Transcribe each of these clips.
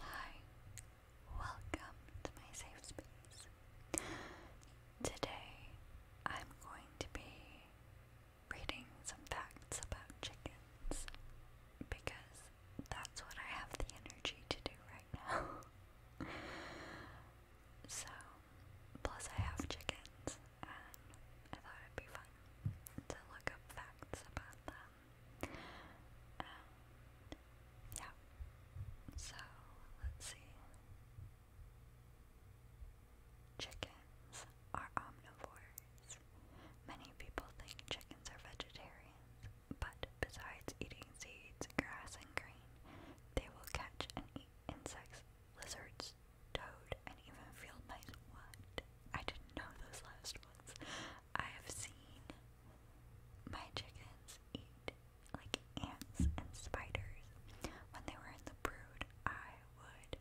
Hi, welcome to my safe space. Today I'm going to be reading some facts about chickens because that's what I have the energy to do right now. so, plus I have chickens and I thought it'd be fun to look up facts about them. Um, yeah. So let's see. Chickens are omnivores. Many people think chickens are vegetarians, but besides eating seeds, grass, and grain, they will catch and eat insects, lizards, toad, and even field mice. What? I didn't know those last ones. I have seen my chickens eat like ants and spiders. When they were in the brood, I would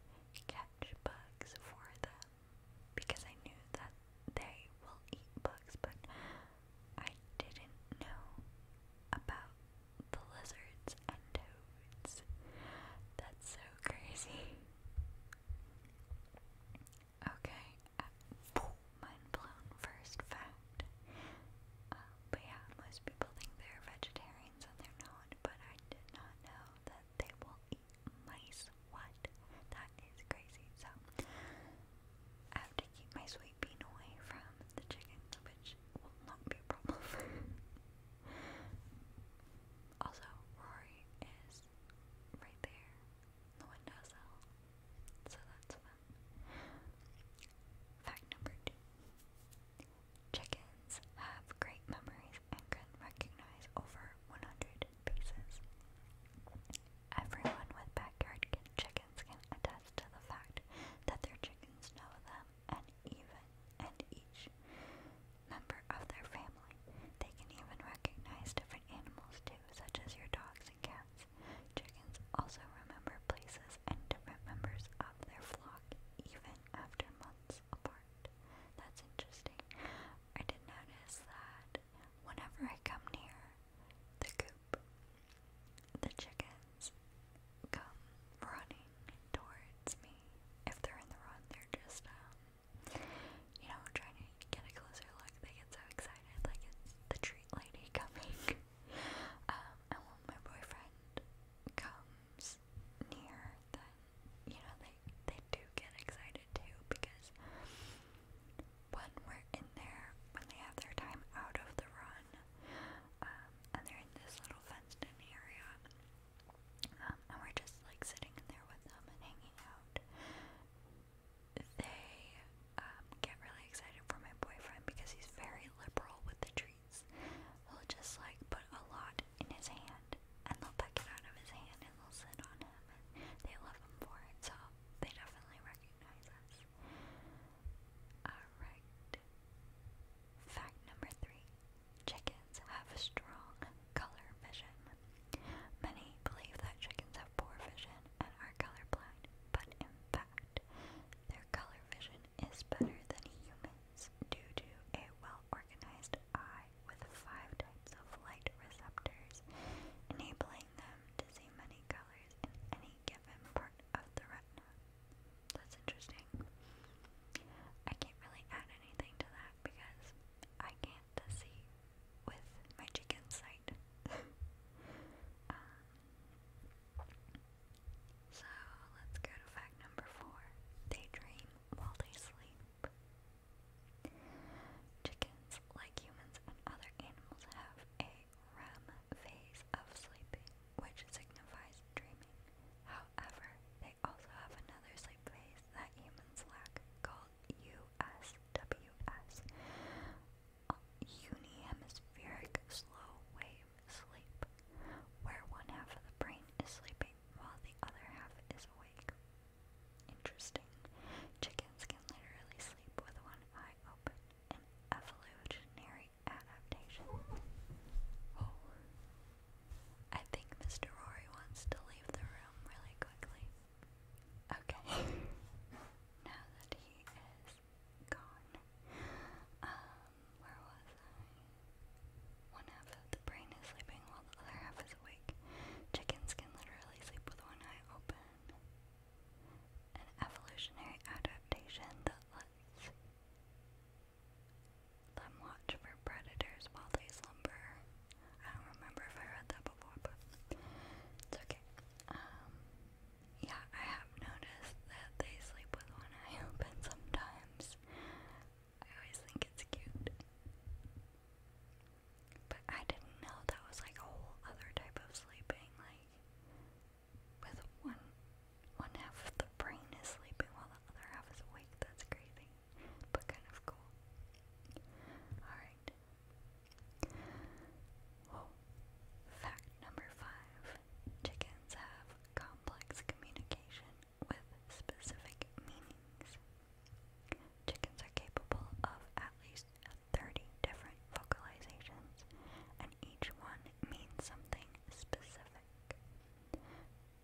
catch bugs for them because I knew that they will eat bugs, but I didn't know about the lizards and toads. That's so crazy. Okay, uh, mind blown first fact. Uh, but yeah, most people think they're vegetarians and they're not, but I did not know that they will eat mice. What? That is crazy. So, I have to keep my sweet bean away from the chicken, which will not be a problem. also, Rory is right there the windowsill. So that's fun. Fact number two. Chickens have great memories and can recognize over 100 pieces. Everyone with backyard chickens can attest to the fact that their chickens know them and even and each member of their family. They can even recognize different animals too, too, such as your dogs and cats. Chickens also remember places and different members of their flock even after months apart. That's interesting. I did notice that whenever I come near the coop, the chickens come running towards me. If they're in the run, they're just um, you know, trying to get a closer look. They get so excited, like it's the treat lady coming. Um, and when my boyfriend comes near, then you know they they do get excited too because when we're in there, when they have their time out of the run, um, and they're in this little fenced-in area. Um, and we're just like sitting in there with them and hanging out they um, get really excited for my boyfriend because he's very liberal with the treats. They'll just like put a lot in his hand and they'll pick it out of his hand and they'll sit on him they love him for it, so they definitely recognize us. Alright. Fact number three chickens have a strong color vision. Many believe that chickens have poor vision and are colorblind, but in fact, their color vision is better than humans due to a well organized eye with five types of light receptors, enabling them to see many colors in any given part of the retina. That's interesting. I can't really add anything to that because I can't fantasy with my chicken site. Um, so let's go to fact number four. They while they sleep. Chickens, like humans and other animals, have a REM phase of sleeping, which signifies dreaming. However, they also have another sleep phase that humans lack called USWS Unihemispheric Slow Wave Sleep, where one half of the brain is sleeping while the other half is awake. Interesting. Chickens can literally sleep with one eye open, an evolutionary adaptation. Oh. I think Mr. Rory wants to leave the room really quickly. Okay. now that he is gone, um, where was I? One half of the brain is sleeping while the other half is awake. Chickens can literally sleep with one eye open. An evolutionary adaptation that lets them watch for predators while they slumber. I don't remember if I read that before, but it's okay. Um, yeah, I have noticed that they sleep with one eye open sometimes. I always think it's cute. But I didn't know that was like a whole other type of sleeping, like with one one half of the brain is sleeping while the other half is awake. That's crazy, but kind of cool. Alright, Fact number five chickens have complex communication with specific meanings. Chickens are capable of at least 30 different vocalizations, and each one means something specific.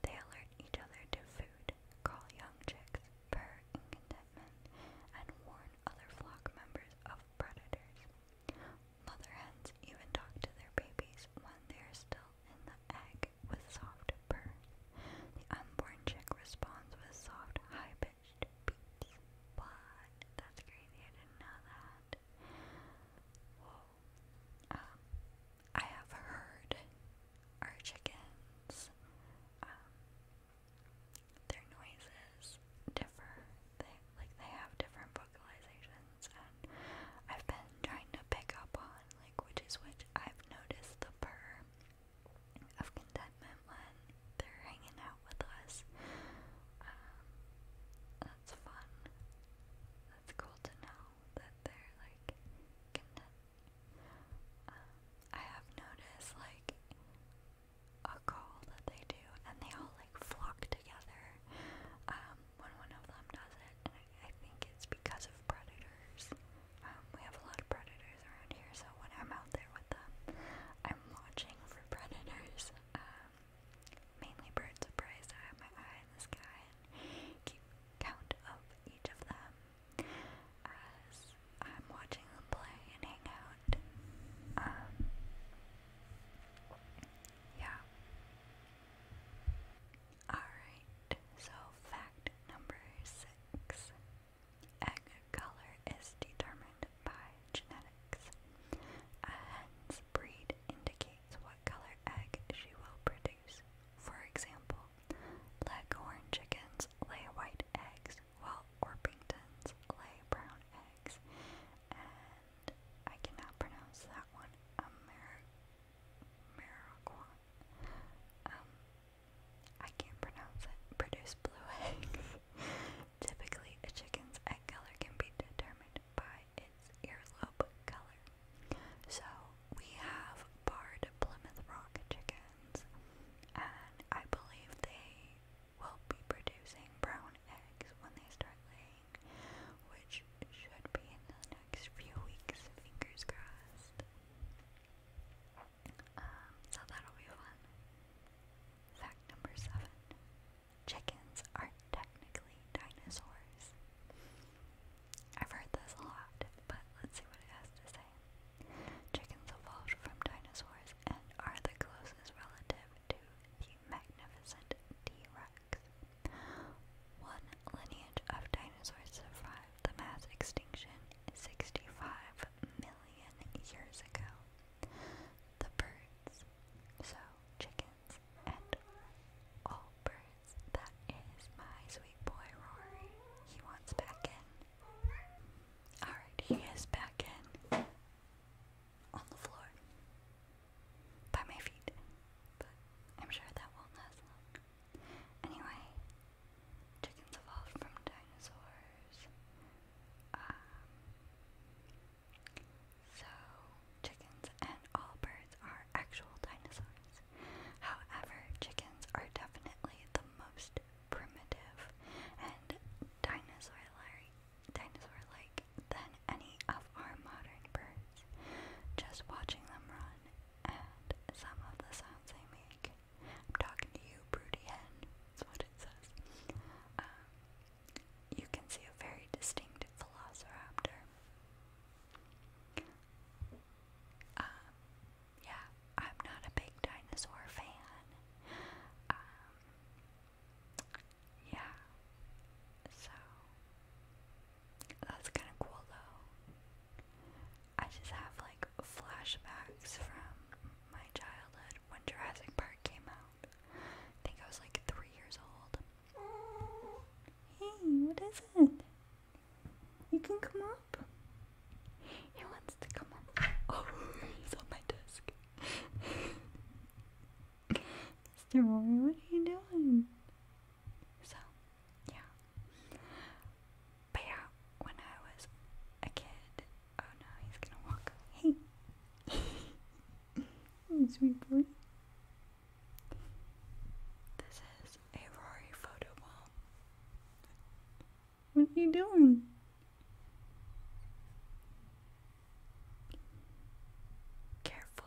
They alert each other to food, call young chicks, purr in contentment and warn other flock members of predators. Mother hens even talk to their babies when they are still in the egg with soft purrs. The unborn chick responds with soft, high-pitched beeps. What? That's crazy. I didn't know that. Whoa. Um, I have heard our chickens um, their noises differ. They like they have different vocalizations, and I've been trying to pick up on like which is which. I've noticed the purr of contentment when they're hanging out with us. Um, that's fun. That's cool to know that they're like content um, I have noticed like a call that they do, and they all like flock together um, when one of them does it, I, think it's because of predators. Um, we have a lot of predators around here, so when I'm out there with them, I'm watching for predators. Um, mainly birds of prey, I have my eye in the sky and keep count of each of them as I'm watching them play and hang out. Um, yeah. Alright, so fact number six egg color is determined by genetics. A hen's breed indicates what color egg she will produce. For example, leghorn chickens lay white eggs while Orpingtons lay brown eggs. And I cannot pronounce that one. Ameriquan. Um, I can't pronounce it. Produce blue eggs. Typically, a chicken's egg color can be determined by its earlobe color. So, we have barred Plymouth Rock chicken, and I believe they will be producing brown eggs when they start laying, which should be in the next few weeks, fingers crossed. Um, so that'll be fun. Fact number seven. Chickens are technically dinosaurs. I've heard this a lot, but let's see what it has to say. Chickens evolved from dinosaurs and are the closest relative to the magnificent T-Rex. One lineage of dinosaurs survived the mass extinction 65 million years ago. The birds, so chickens, and all birds, that is my sweet boy Rory. He wants back in. Alright, he is back in on the floor by my feet, but I'm sure that won't last long. Anyway, chickens evolved from dinosaurs. Um, so, chickens and all birds are actual dinosaurs. However, chickens are definitely the most primitive and dinosaur-like dinosaur -like than any of our modern birds. Just watching them run and some of the sounds they make. I'm talking to you, broody hen. That's what it says. Um, you can see a very distinct velociraptor. Um, yeah, I'm not a big dinosaur fan. Um, yeah, so that's kind of cool though. I just have like flashbacks from my childhood when Jurassic Park came out. I think I was like three years old. Hey, what is it? You can come on. He wants to come Oh, he's on my desk. Mr. Rory, what are you doing? So, yeah. But yeah, when I was a kid, oh no, he's gonna walk. Hey, sweet boy. This is a Rory photo wall. What are you doing? Careful.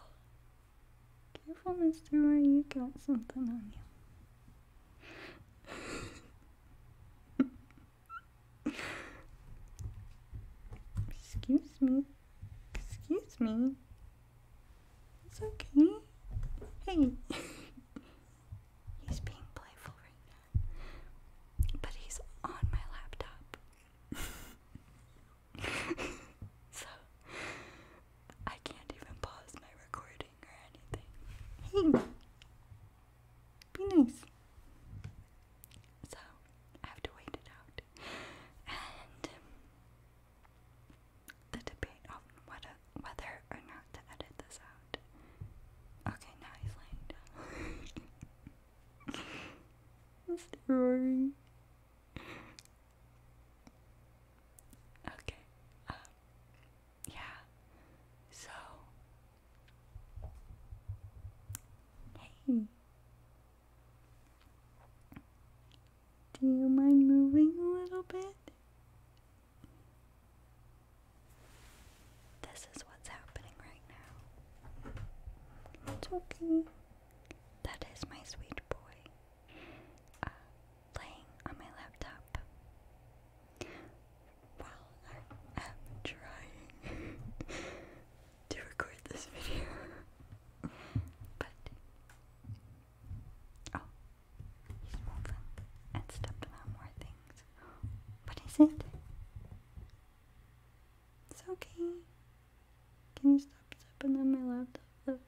Careful, Mr. you got something on you. Excuse me. Excuse me. It's okay. Hey. He's being playful right now. But he's on my laptop. so I can't even pause my recording or anything. Hey! Be nice. So I have to wait it out. And um, the debate on whether whether or not to edit this out. Okay, now he's laying down. That's Okay. Um, yeah. So. Hey. Do you mind moving a little bit? This is what's happening right now. It's That is my sweet boy uh, laying on my laptop while I am trying to record this video. but, oh, he's moving and stepping on more things. What is it? It's okay. Can you stop stepping on my laptop?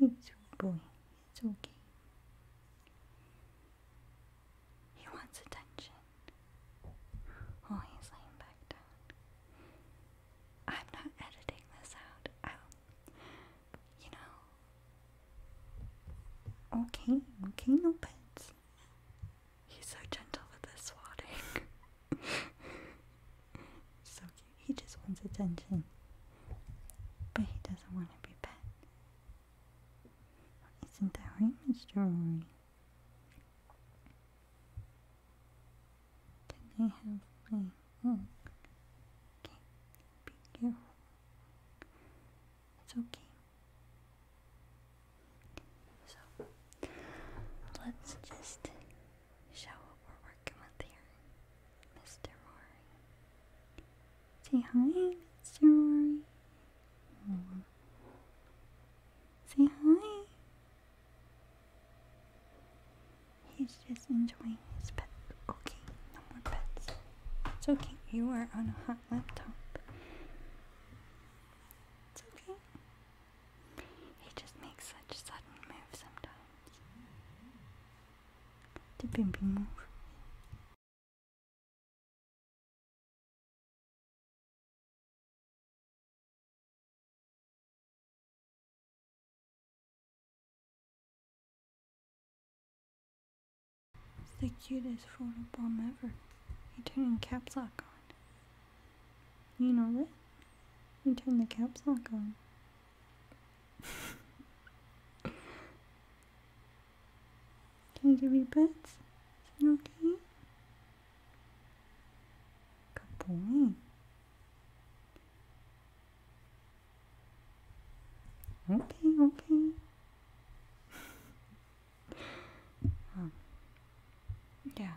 It's boy. It's okay. He wants attention. Oh, he's laying back down. I'm not editing this out you know. Okay, oh, okay, no pets. He's so gentle with this swatting. so cute. He just wants attention. But he doesn't want to be pet. Isn't that right, Mr. Rory? I have my hmm, Okay. Be careful. It's okay. So, let's just show what we're working with here. Mr. Rory. Say hi, Mr. Rory. Say hi. He's just enjoying his pet. Okay, no more pets. It's okay, you are on a hot laptop. It's okay. He just makes such sudden moves sometimes. The move. It's the cutest photo bomb ever. You turn the caps lock on. You know what? You turn the caps lock on. Can you give me pets? Is it okay? Good boy. Okay, okay. Um, yeah.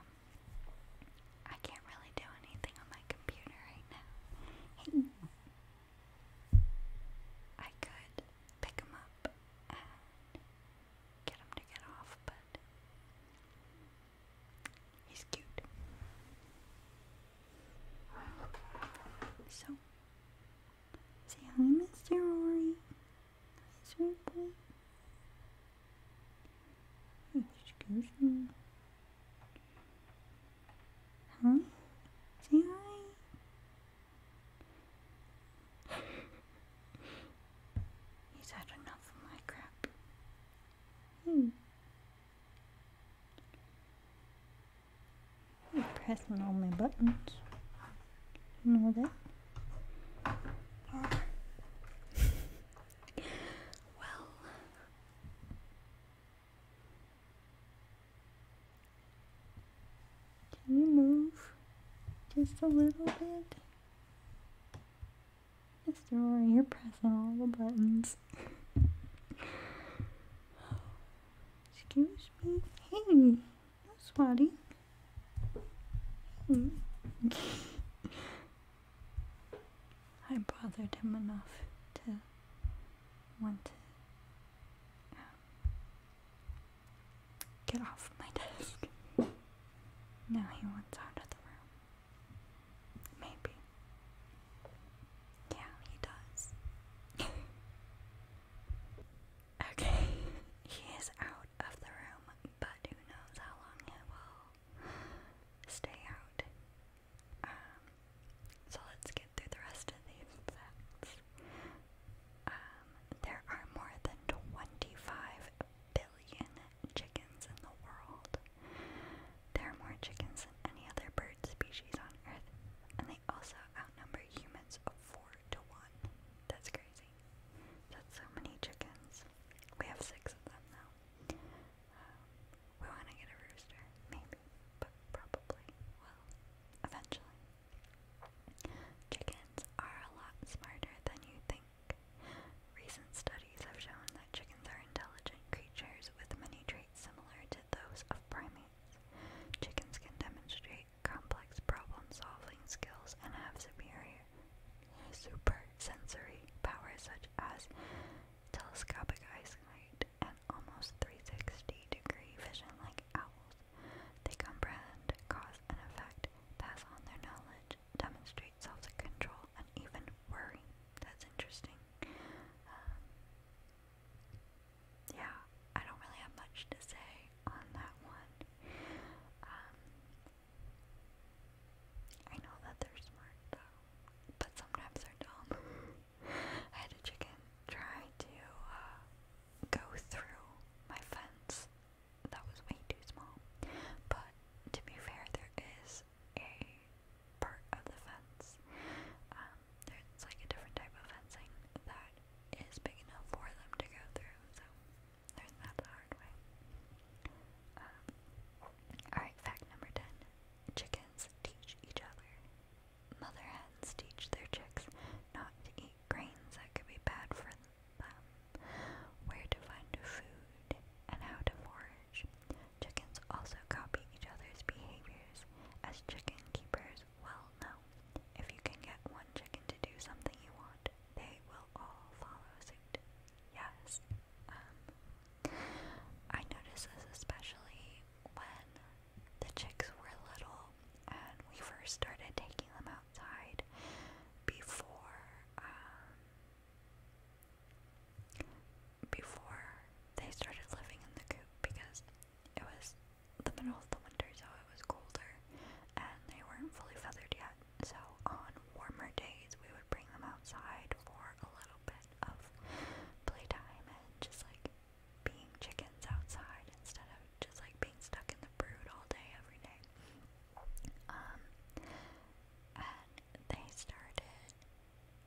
I can't really do anything on my computer right now. I could pick them up get them to get off, but he's cute. So, Say hi, Mr. Rory. Hi, Excuse me. Huh? Say hi. He's had enough of my crap. Hmm. I'm pressing all my buttons. You know that? well. Can you move just a little bit? Mr. Rory, you're pressing all the buttons. Excuse me. Hey, no swatting. I bothered him enough to want to um, get off my desk. Now he wants out of the room. Maybe. Yeah, he does. okay, he is out of the room, but who knows how long he will stay out. Um, so let's get through the rest of these facts. Um, there are more than 25 billion chickens in the world. There are more chickens than any other bird species on Earth, and also outnumber humans four to one. That's crazy. That's so many chickens. We have six of them now. Um, we want to get a rooster, maybe, but probably will eventually. Chickens are a lot smarter than you think. Recent studies have shown that chickens are intelligent creatures with many traits similar to those of primates. Chickens can demonstrate complex problem-solving skills and have superior sensory powers such as telescopic eyesight and almost 360-degree vision like owls. They comprehend cause and effect, pass on their knowledge, demonstrate self-control, and even worry. That's interesting. Um, yeah, I don't really have much to say on that one. Um, I know that they're smart though, but sometimes they're dumb. I had a chicken try to uh, go through my fence. That was way too small. But to be fair, there is a part of the fence um, there's like a different type of fencing that is big enough for them to go through, so there's that the hard way. Um, alright, fact number 10. Chickens teach each other. Mother hens teach their chicks not to eat grains that could be bad for them, where to find food, and how to forage. Chickens also copy each other's behaviors, as chicken keepers well, no. If you can get one chicken to do something you want, they will all follow suit. Yes. Um, I noticed this especially when the chicks were little and we first started taking them outside before, um, before they started living in the coop because it was the middle of the winter, so oh, it was colder, and they weren't fully feathered yet. So on warmer days, we would bring them outside for a little bit of playtime and just like being chickens outside instead of just like being stuck in the brood all day every day. Um, and they started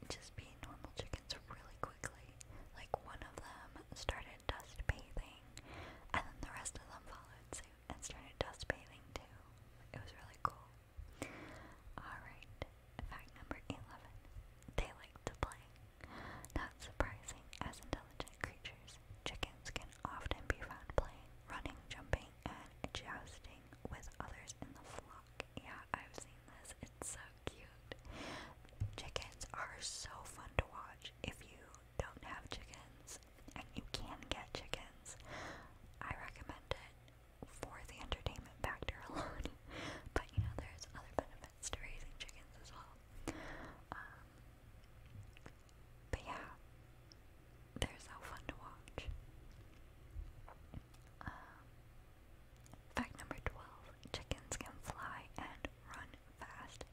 just beat normal chickens really quickly. Like one of them started dust bathing, and then the rest of them followed suit and started dust bathing too. It was really cool. Alright, fact number 11. They like to play. Not surprising, as intelligent creatures, chickens can often be found playing, running, jumping, and jousting with others in the flock. Yeah, I've seen it's so cute. Chickens are so fun to watch. If you don't have chickens and you can get chickens, I recommend it for the entertainment factor alone. but you know, there's other benefits to raising chickens as well. Um, but yeah, they're so fun to watch. Um, fact number 12 chickens can fly and run fast.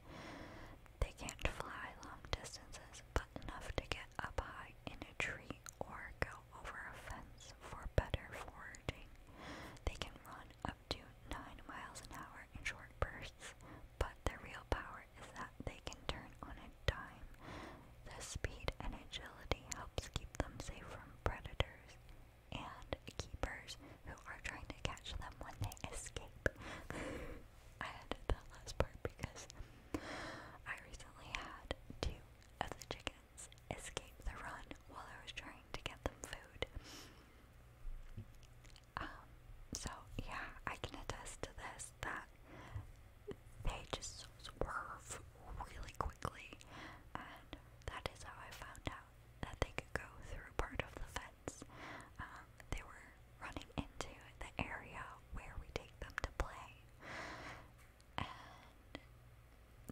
They can't fly long distances, but enough to get up high in a tree or go over a fence for better foraging. They can run up to 9 miles an hour in short bursts, but their real power is that they can turn on a dime. Their speed and agility helps keep them safe from predators, and keepers who are trying to catch them when they escape. I added that last part because I recently had two of the chickens escape the run while I was trying to get them food. Um, so yeah, I can attest to this that they just swerve really quickly, and that is how I found out that they could go through part of the fence. Um, they were running into the area where we take them to play. And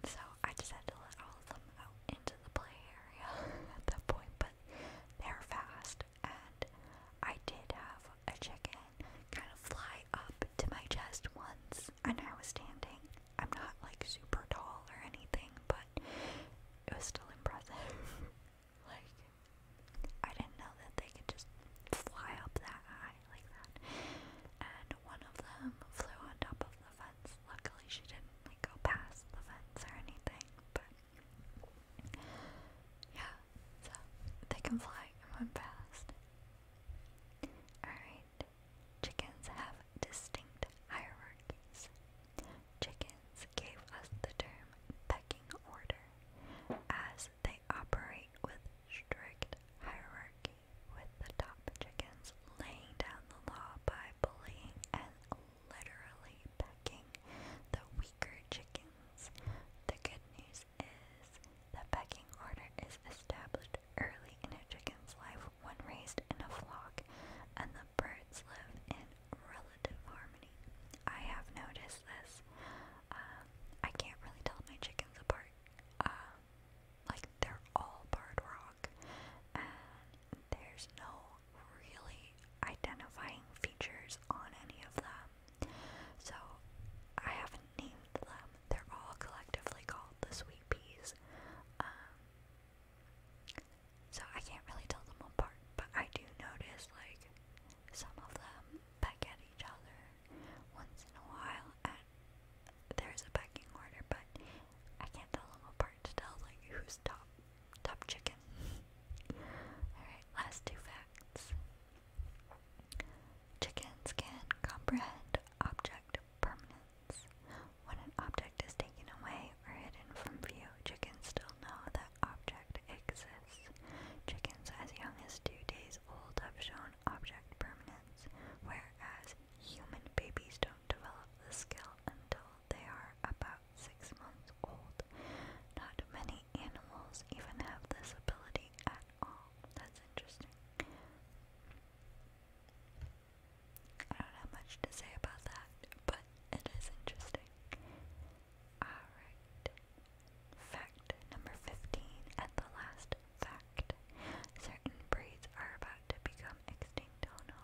so I just had to let all of them out into the play area at that point, but they're fast. And I did have a chicken kind of fly up to my chest once, and I was standing, I'm not like super tall or anything, but it was still impressive. like, I didn't know that they could just fly up that high like that. And one of them flew on top of the fence. Luckily, she didn't go past the fence or anything, but yeah, so they can fly and run fast. Alright, Chickens have distinct hierarchies. Chickens gave us the term pecking order, as they operate with strict hierarchy, with the top chickens laying down the law by bullying and literally pecking the weaker chickens. The good news is the pecking order is established early in a chicken's life when raised in a flock, and birds live in relative harmony. I have noticed this. Um, I can't really tell my chickens apart. Um, like, they're all barred rock, and there's no really identifying features on any of them. So, I haven't named them. They're all collectively called the sweet peas. Um, so I can't really tell them apart, but I do notice like some of them peck at each other once in a while and uh, there's a pecking order, but I can't tell them apart to tell like who's top top chicken. Alright, last two facts. Chickens can comprehend object permanence. When an object is taken away or hidden from view, chickens still know that object exists. Chickens as young as two days old have shown object permanence, whereas human babies don't develop the skill until they are about six months old. Not many animals even have this ability at all. That's interesting. I don't have much to say about that, but it is interesting. Alright. Fact number 15 and the last fact. Certain breeds are about to become extinct, oh no.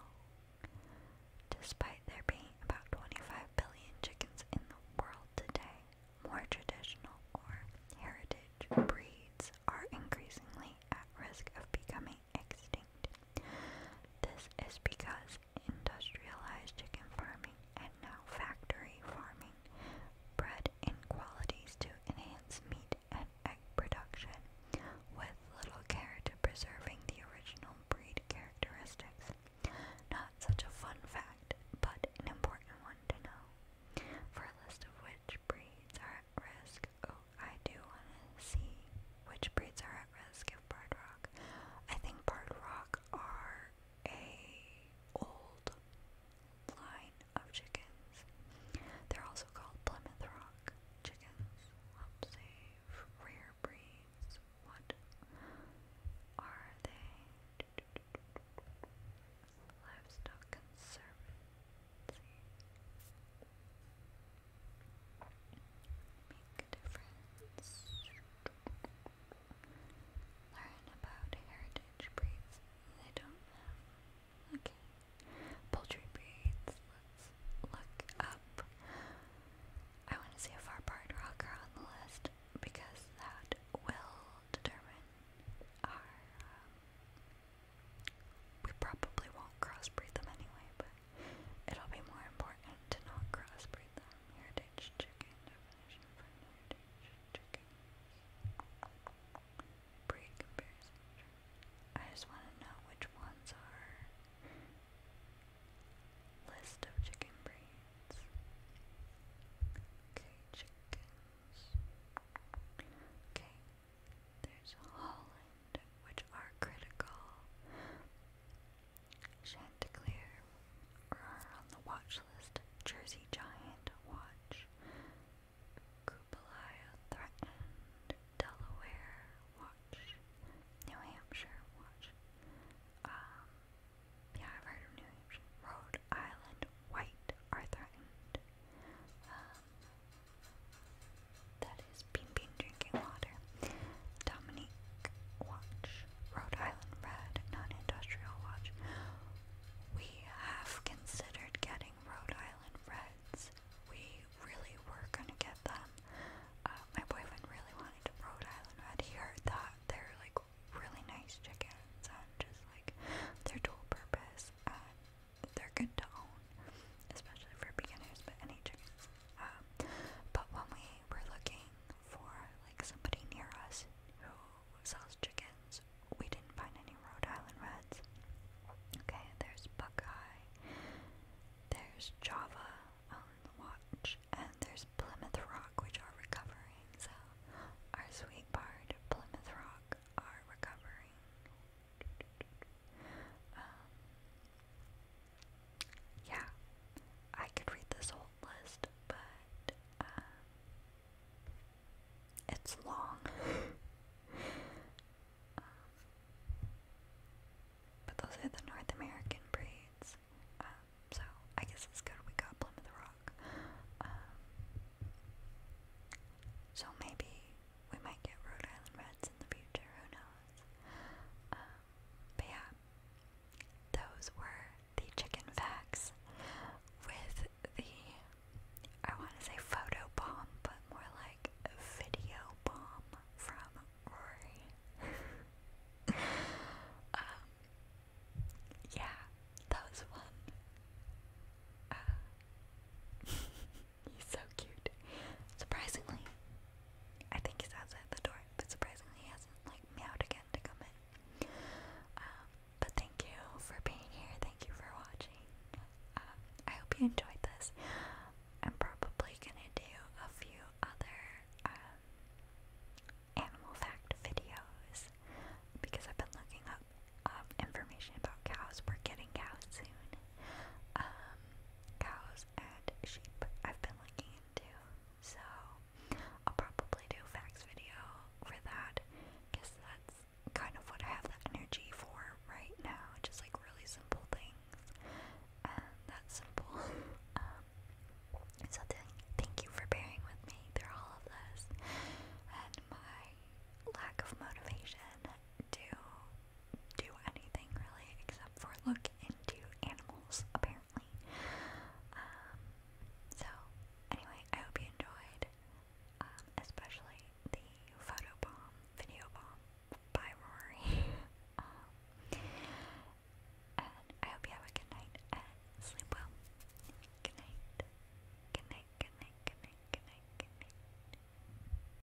Despite there being about 25 billion chickens in the world today, more traditional or heritage breeds are increasingly at risk of becoming extinct. This is because industrialized chicken farming and now factory farming bred in qualities to enhance meat and egg production, with little care to preserving the original breed characteristics. Not such a fun fact, but an important one to know. For a list of which breeds are at risk, oh, I do want to see which breeds are at risk of barred rock. I think barred rock are a old line of chickens. They're also called Plymouth Rock chickens. Help rare breeds. What are they? Livestock conservation. Make a difference. Learn about heritage breeds. I don't know. Okay. Poultry breeds. Let's look up. I want to see if our part rocker on the list because that will determine our we probably won't crossbreed them anyway, but it'll be more important to not crossbreed them. Heritage chicken definition for heritage chicken. Breed comparison. I just want to know which ones are list of chicken breeds. Okay, chickens. Okay, there's Holland, which are critical. Chanticleer are on the watch list. Jersey Giant watch. Kubalaya threatened. Delaware watch. New Hampshire watch. Um, yeah, I've heard New Hampshire. Rhode Island white are threatened. Um, that is Bean Bean drinking water. Dominique watch. Rhode Island Red non-industrial watch. We have considered getting Rhode Island Reds. We really were gonna get them. Uh, my boyfriend really wanted a Rhode Island Red. He heard that they're like really nice chickens and just like they're dual purpose they're good to own, especially for beginners, but any chickens. Um, but when we were looking for like somebody near us who sells chickens, we didn't find any Rhode Island Reds. Okay, there's Buckeye, there's Java on the watch, and there's Plymouth Rock, which are recovering. So, our sweet part, Plymouth Rock, are recovering. Um, yeah, I could read this whole list, but um, it's long. Um, but those are the North American breeds. so I guess it's good we got Plymouth Rock. so maybe we might get Rhode Island Reds in the future, who knows? Um, but yeah, those were the chicken facts with the, I want to say photo bomb, but more like video bomb from Rory. Um, yeah, that was one. He's so cute. Surprisingly, I think he's outside the door, but surprisingly he hasn't like meowed again to come in. Um, but thank you for being here. Thank you for watching. Um, I hope you enjoyed this. I'm probably gonna do a few other um, animal fact videos because I've been looking up information about cows. We're getting cows soon. Um, cows and sheep I've been looking into. So I'll probably do a facts video for that because that's kind of what I have the energy for right now. Just like really simple things. And that's simple. Um, so thank you for bearing with me through all of this and my lack of motivation to do anything really except for look into animals, apparently. Um, so, anyway, I hope you enjoyed, um, especially the photo bomb, video bomb by Rory. Um, I hope you have a good night and sleep well. Good night. Good night, good night, good night, good night, good night.